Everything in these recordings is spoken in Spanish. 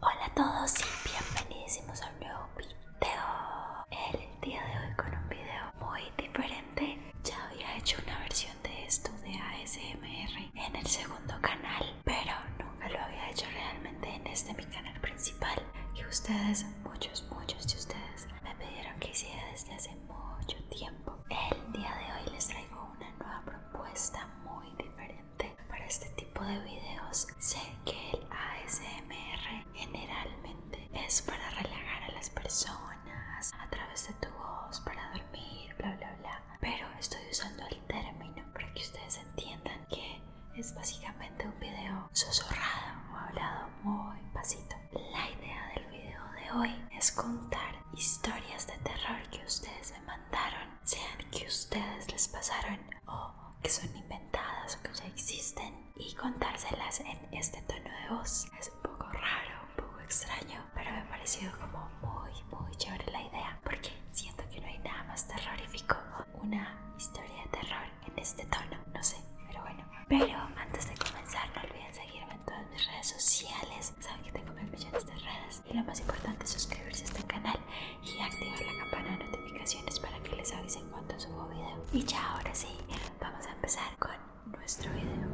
Hola a todos y bienvenidos a un nuevo video. El día de hoy con un video muy diferente. Ya había hecho una versión de esto de ASMR en el segundo canal, pero nunca lo había hecho realmente en este mi canal principal. Y ustedes, muchos, muchos de ustedes, me pidieron que hiciera desde hace mucho tiempo. El día de hoy les traigo una nueva propuesta muy diferente para este tipo de videos. Sé que el ASMR generalmente es para relajar a las personas a través de tu voz, para dormir, bla, bla, bla. Pero estoy usando el término para que ustedes entiendan que es básicamente un video susurrado o hablado muy pasito la idea del video de hoy es contar historias de terror que ustedes me mandaron, sean que ustedes les pasaron o que son inventadas o que ya existen y contárselas en este tono de voz. Es un poco raro, un poco extraño, pero me ha parecido como muy, muy chévere la idea porque siento que no hay nada más terrorífico una historia de terror en este tono, no sé, pero bueno. Pero antes de comenzar, no olviden seguirme en todas mis redes sociales. Saben que tengo mil millones de redes. Y lo más importante es suscribirse a este canal y activar la campana de notificaciones para que les avisen cuando subo video. Y ya ahora sí, vamos a empezar con nuestro video.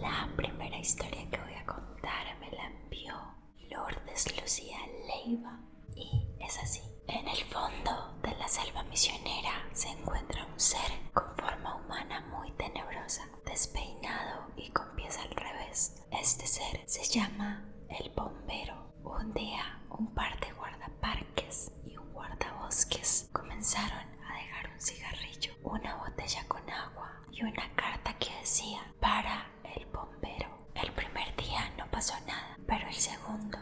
La primera historia que voy a contar me la envió Lordes Lucía Leiva. Y es así. En el fondo de la selva misionera se encuentra un ser con forma humana muy tenebrosa, despeinado y con pies al revés. Este ser se llama el bombero. Un día, un par de guardaparques y un guardabosques comenzaron a dejar un cigarrillo, una botella con agua y una carta que decía para el bombero. El primer día no pasó nada, pero el segundo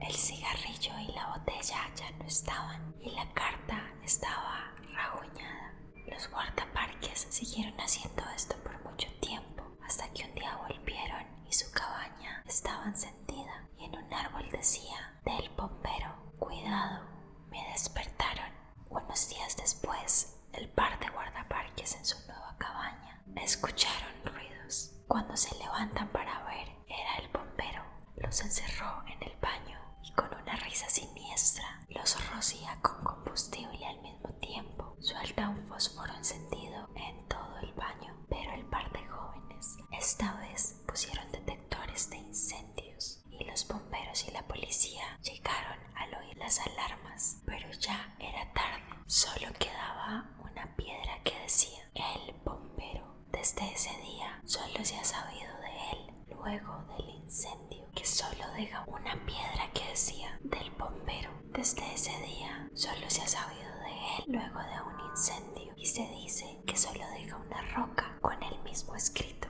el cigarrillo y la botella ya no estaban y la carta estaba raguñada. Los guardaparques siguieron haciendo esto por mucho tiempo hasta que un día volvieron y su cabaña estaba encendida y en un árbol decía del pompero cuidado, me despertaron. Unos días después, el par de guardaparques en su nueva cabaña escucharon ruidos. Cuando se levantan para ver era el bombero. Los encerró en el baño y con una risa siniestra los rocía con combustible al mismo tiempo. Suelta un fósforo encendido en todo el baño, pero el par de jóvenes esta vez pusieron detectores de incendios y los bomberos y la policía llegaron al oír las alarmas, pero ya era tarde. Solo quedaba una piedra que decía el bombero desde ese día solo se ha sabido de él luego del incendio, que solo deja una piedra que decía del bombero. Desde ese día solo se ha sabido de él luego de un incendio y se dice que solo deja una roca con el mismo escrito.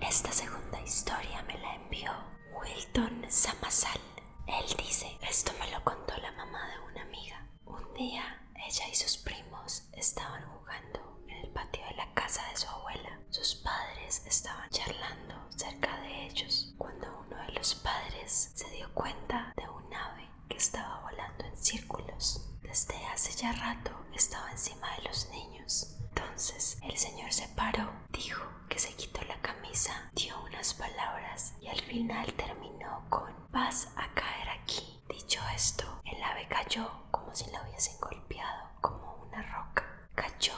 Esta segunda historia me la envió Wilton Samasal. Él dice, esto me lo contó la mamá de una amiga. Un día, ella y sus primos estaban jugando en el patio de la casa de su abuela. Sus padres estaban charlando cerca de ellos cuando uno de los padres se dio cuenta de un ave que estaba volando en círculos. Desde hace ya rato estaba encima de los niños. Entonces el señor se paró, dijo que se quitó la camisa, dio unas palabras y al final terminó con vas a caer aquí. Dicho esto, el ave cayó como si la hubiesen golpeado, como una roca. Cayó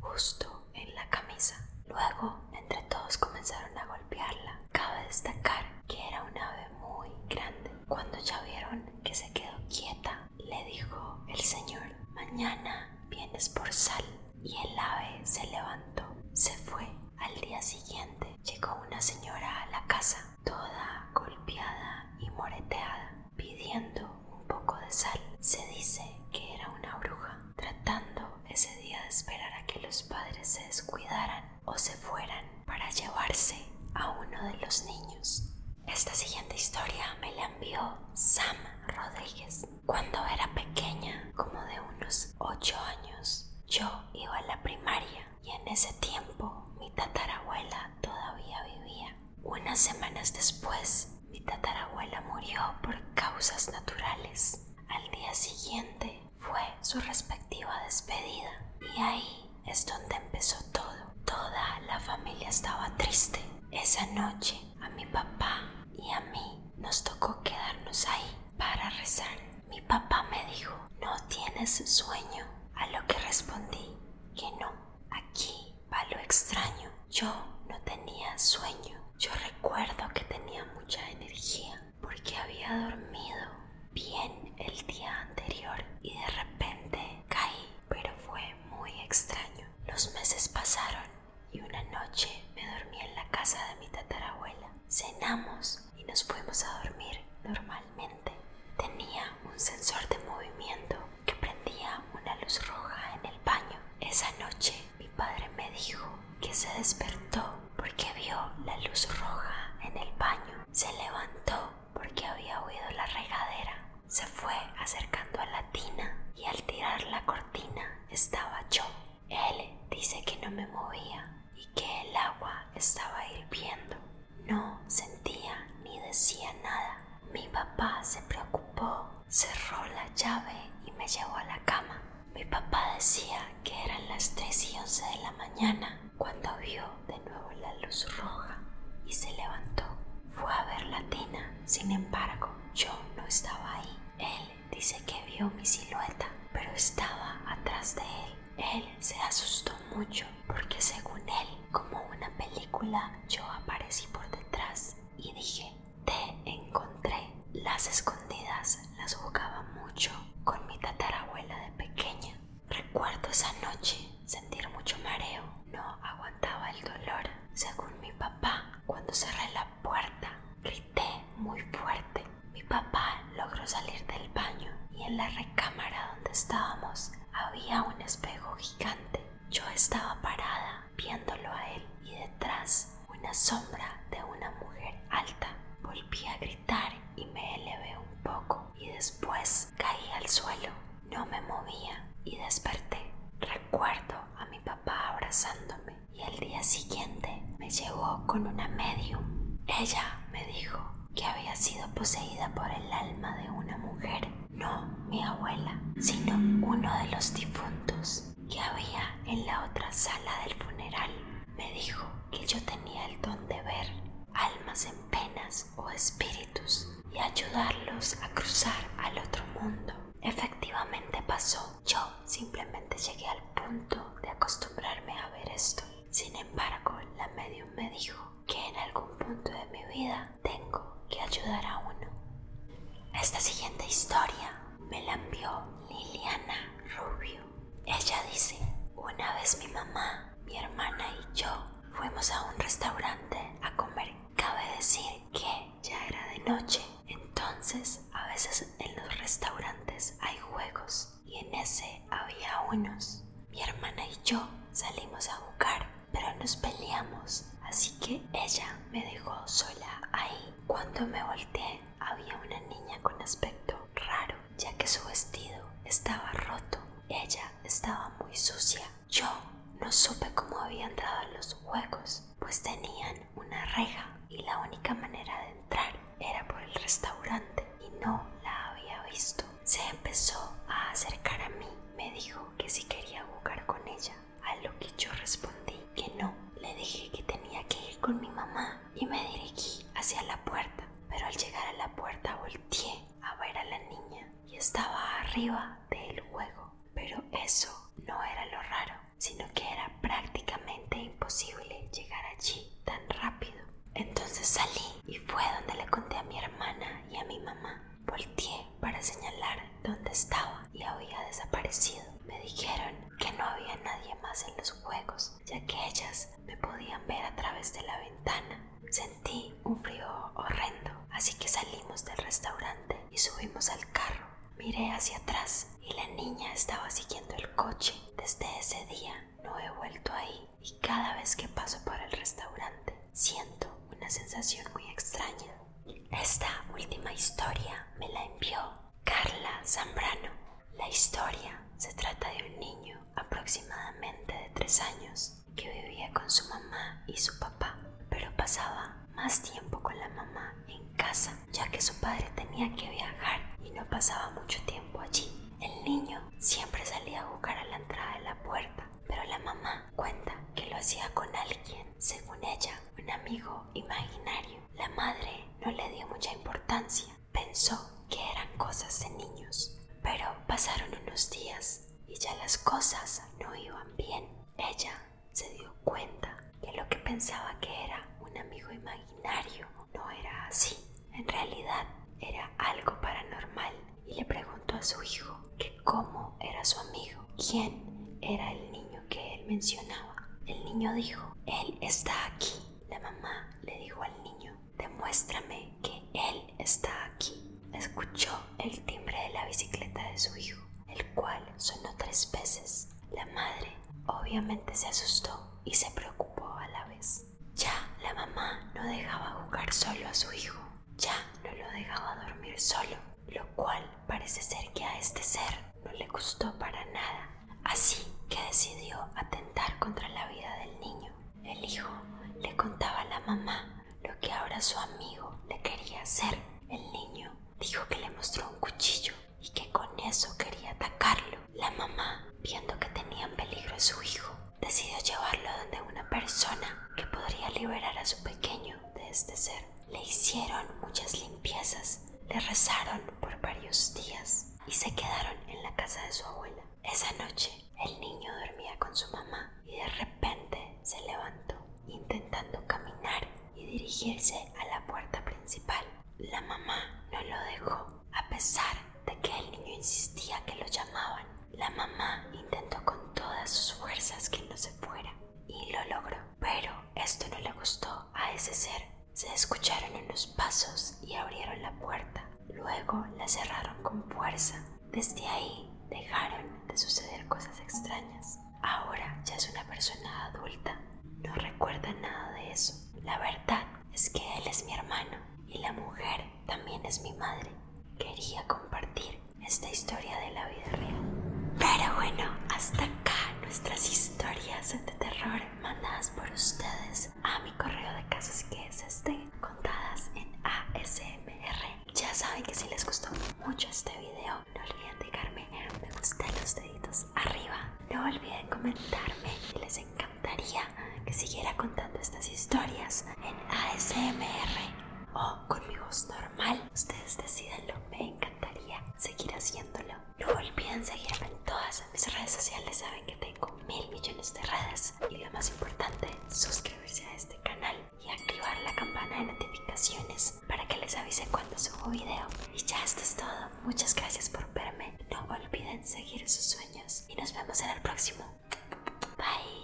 justo en la camisa. Luego, entre todos comenzaron a golpearla. Cabe destacar que era un ave muy grande. Cuando ya vieron que se quedó quieta, le dijo el señor, mañana vienes por sal. Y el ave se levantó, se fue al día siguiente llegó una señora a la casa, toda golpeada y moreteada, pidiendo un poco de sal. Se dice que era una bruja, tratando ese día de esperar a que los padres se descuidaran o se fueran para llevarse a uno de los niños. Esta siguiente historia me la envió Sam Rodríguez. Cuando era pequeña, como de unos ocho años. Yo iba a la primaria y en ese tiempo mi tatarabuela todavía vivía. Unas semanas después, mi tatarabuela murió por causas naturales. Al día siguiente fue su respectiva despedida y ahí es donde empezó todo. Toda la familia estaba triste. Esa noche a mi papá y a mí nos tocó quedarnos ahí para rezar mi papá me dijo, ¿no tienes sueño? A lo que respondí que no. Aquí va lo extraño. Yo no tenía sueño. Yo recuerdo que tenía mucha energía porque había dormido bien el día anterior y de repente caí, pero fue muy extraño. Los meses pasaron y una noche me dormí en la casa de mi tatarabuela cenamos y nos fuimos a dormir normalmente. Tenía un sensor de movimiento que prendía una luz roja en el baño. Esa noche mi padre me dijo que se despertó porque vio la luz roja en el baño. Se levantó porque había oído la regadera. Se fue acercando a la tina y al tirar la cortina estaba yo. Él dice que no me movía y que el agua estaba hirviendo. No sentía ni decía nada. Mi papá se preocupó, cerró la llave y me llevó a la cama. Mi papá decía que eran las 3 y 11 de la mañana cuando vio de nuevo la luz roja y se levantó. Fue a ver la tina, sin embargo, yo no estaba ahí. Él dice que vio mi silueta, pero estaba atrás de él. Él se asustó mucho porque según él, como una película, yo aparecí por detrás y dije, te encontré. Las escondidas las jugaba mucho con mi tatarabuela de pequeña. Recuerdo esa noche sentir mucho mareo. No aguantaba el dolor. Según mi papá, cuando cerré la puerta, grité muy fuerte. Mi papá logró salir del baño y en la recámara donde estábamos había un espejo gigante. Yo estaba parada viéndolo a él y detrás una sombra de una mujer alta. Volví a gritar y me elevé un poco y después caí al suelo. No me movía y desperté. Recuerdo a mi papá abrazándome y el día siguiente me llevó con una medium. Ella me dijo que había sido poseída por el alma de una mujer, no mi abuela, sino uno de los difuntos que había en la otra sala del funeral. Me dijo que yo tenía el don de ver almas en penas o espíritus y ayudarlos a cruzar al otro mundo. Efectivamente pasó yo simplemente llegué al punto de acostumbrarme a ver esto. Sin embargo, la medium me dijo que en algún punto de mi vida tengo que ayudar a uno. Esta siguiente historia me la envió Liliana Rubio. Ella dice, una vez mi mamá, mi hermana y yo fuimos a un restaurante a comer. Cabe decir que ya era de noche. Entonces, a veces en los restaurantes hay juegos y en ese había unos. Mi hermana y yo salimos a jugar, pero nos peleamos, así que ella me dejó sola ahí. Cuando me volteé, había una niña con aspecto raro, ya que su vestido estaba roto. Ella estaba muy sucia. Yo no supe cómo había entrado los juegos, pues tenían una reja y la única manera de entrar era por el restaurante y no la había visto. Se empezó a acercar a mí, me dijo que si quería jugar con ella, a lo que yo respondí que no. Le dije que tenía que ir con mi mamá y me dirigí hacia la puerta, pero al llegar a la puerta volteé a ver a la niña y estaba arriba del juego. Pero eso no era lo raro sino que era prácticamente imposible llegar allí tan rápido. Entonces salí y fue donde le conté a mi hermana y a mi mamá. Volteé para señalar dónde estaba y había desaparecido. Me dijeron que no había nadie más en los juegos, ya que ellas me podían ver a través de la ventana. Sentí un frío horrendo, así que salimos del restaurante y subimos al carro Miré hacia atrás y la niña estaba siguiendo el coche. Desde ese día no he vuelto ahí y cada vez que paso por el restaurante siento una sensación muy extraña. Esta última historia me la envió Carla Zambrano. La historia se trata de un niño aproximadamente de 3 años que vivía con su mamá y su papá, pero pasaba más tiempo con la mamá en casa, ya que su padre tenía que viajar y no pasaba mucho tiempo allí. El niño siempre salía a buscar a la entrada de la puerta, pero la mamá cuenta que lo hacía con alguien, según ella, un amigo imaginario. La madre no le dio mucha importancia, pensó que eran cosas de niños. Pero pasaron unos días y ya las cosas no iban bien. Ella se dio cuenta que lo que pensaba que era un amigo imaginario no era así. En realidad era algo paranormal y le preguntó a su hijo que cómo era su amigo, quién era el niño que él mencionaba. El niño dijo, él está aquí. La mamá le dijo al niño, demuéstrame que él está aquí escuchó el timbre de la bicicleta de su hijo, el cual sonó tres veces. La madre obviamente se asustó y se preocupó a la vez. Ya la mamá no dejaba jugar solo a su hijo, ya no lo dejaba dormir solo, lo cual parece ser que a este ser no le gustó para nada. Así que decidió atentar contra la vida del niño. El hijo le contaba a la mamá lo que ahora su amigo le quería hacer. El niño dijo que le mostró un cuchillo y que con eso quería atacarlo. La mamá, viendo que tenía en peligro a su hijo, decidió llevarlo donde una persona que podría liberar a su pequeño de este ser. Le hicieron muchas limpiezas, le rezaron por varios días y se quedaron en la casa de su abuela. Esa noche el niño dormía con su mamá y de repente se levantó, intentando caminar y dirigirse a la puerta principal. La mamá no lo dejó, a pesar de que el niño insistía que lo llamaban. La mamá intentó con todas sus fuerzas que no se fuera y lo logró, pero esto no le gustó a ese ser. Se escucharon unos pasos y abrieron la puerta. Luego la cerraron con fuerza desde ahí dejaron de suceder cosas extrañas. Ahora ya es una persona adulta. No recuerda nada de eso. La verdad es que él es mi hermano y la mujer también es mi madre. Quería compartir esta historia de la vida real. Pero bueno, hasta acá nuestras historias de terror mandadas por ustedes a mi correo de casas que es este, contadas en ASMR ya saben que si les gustó mucho este video, no olviden dejarme me gusta los deditos arriba. No olviden comentarme y les encantaría que siguiera contando estas historias en ASMR o con mi voz normal. Ustedes decidanlo, me encantaría seguir haciéndolo. No olviden seguirme en todas mis redes sociales, saben que tengo mil millones de redes y lo más importante, suscribirse a este canal y activar la campana de notificaciones para que les avise cuando subo video. Y ya esto es todo. Muchas gracias por verme. No olviden seguir sus sueños y nos vemos en el próximo. Bye.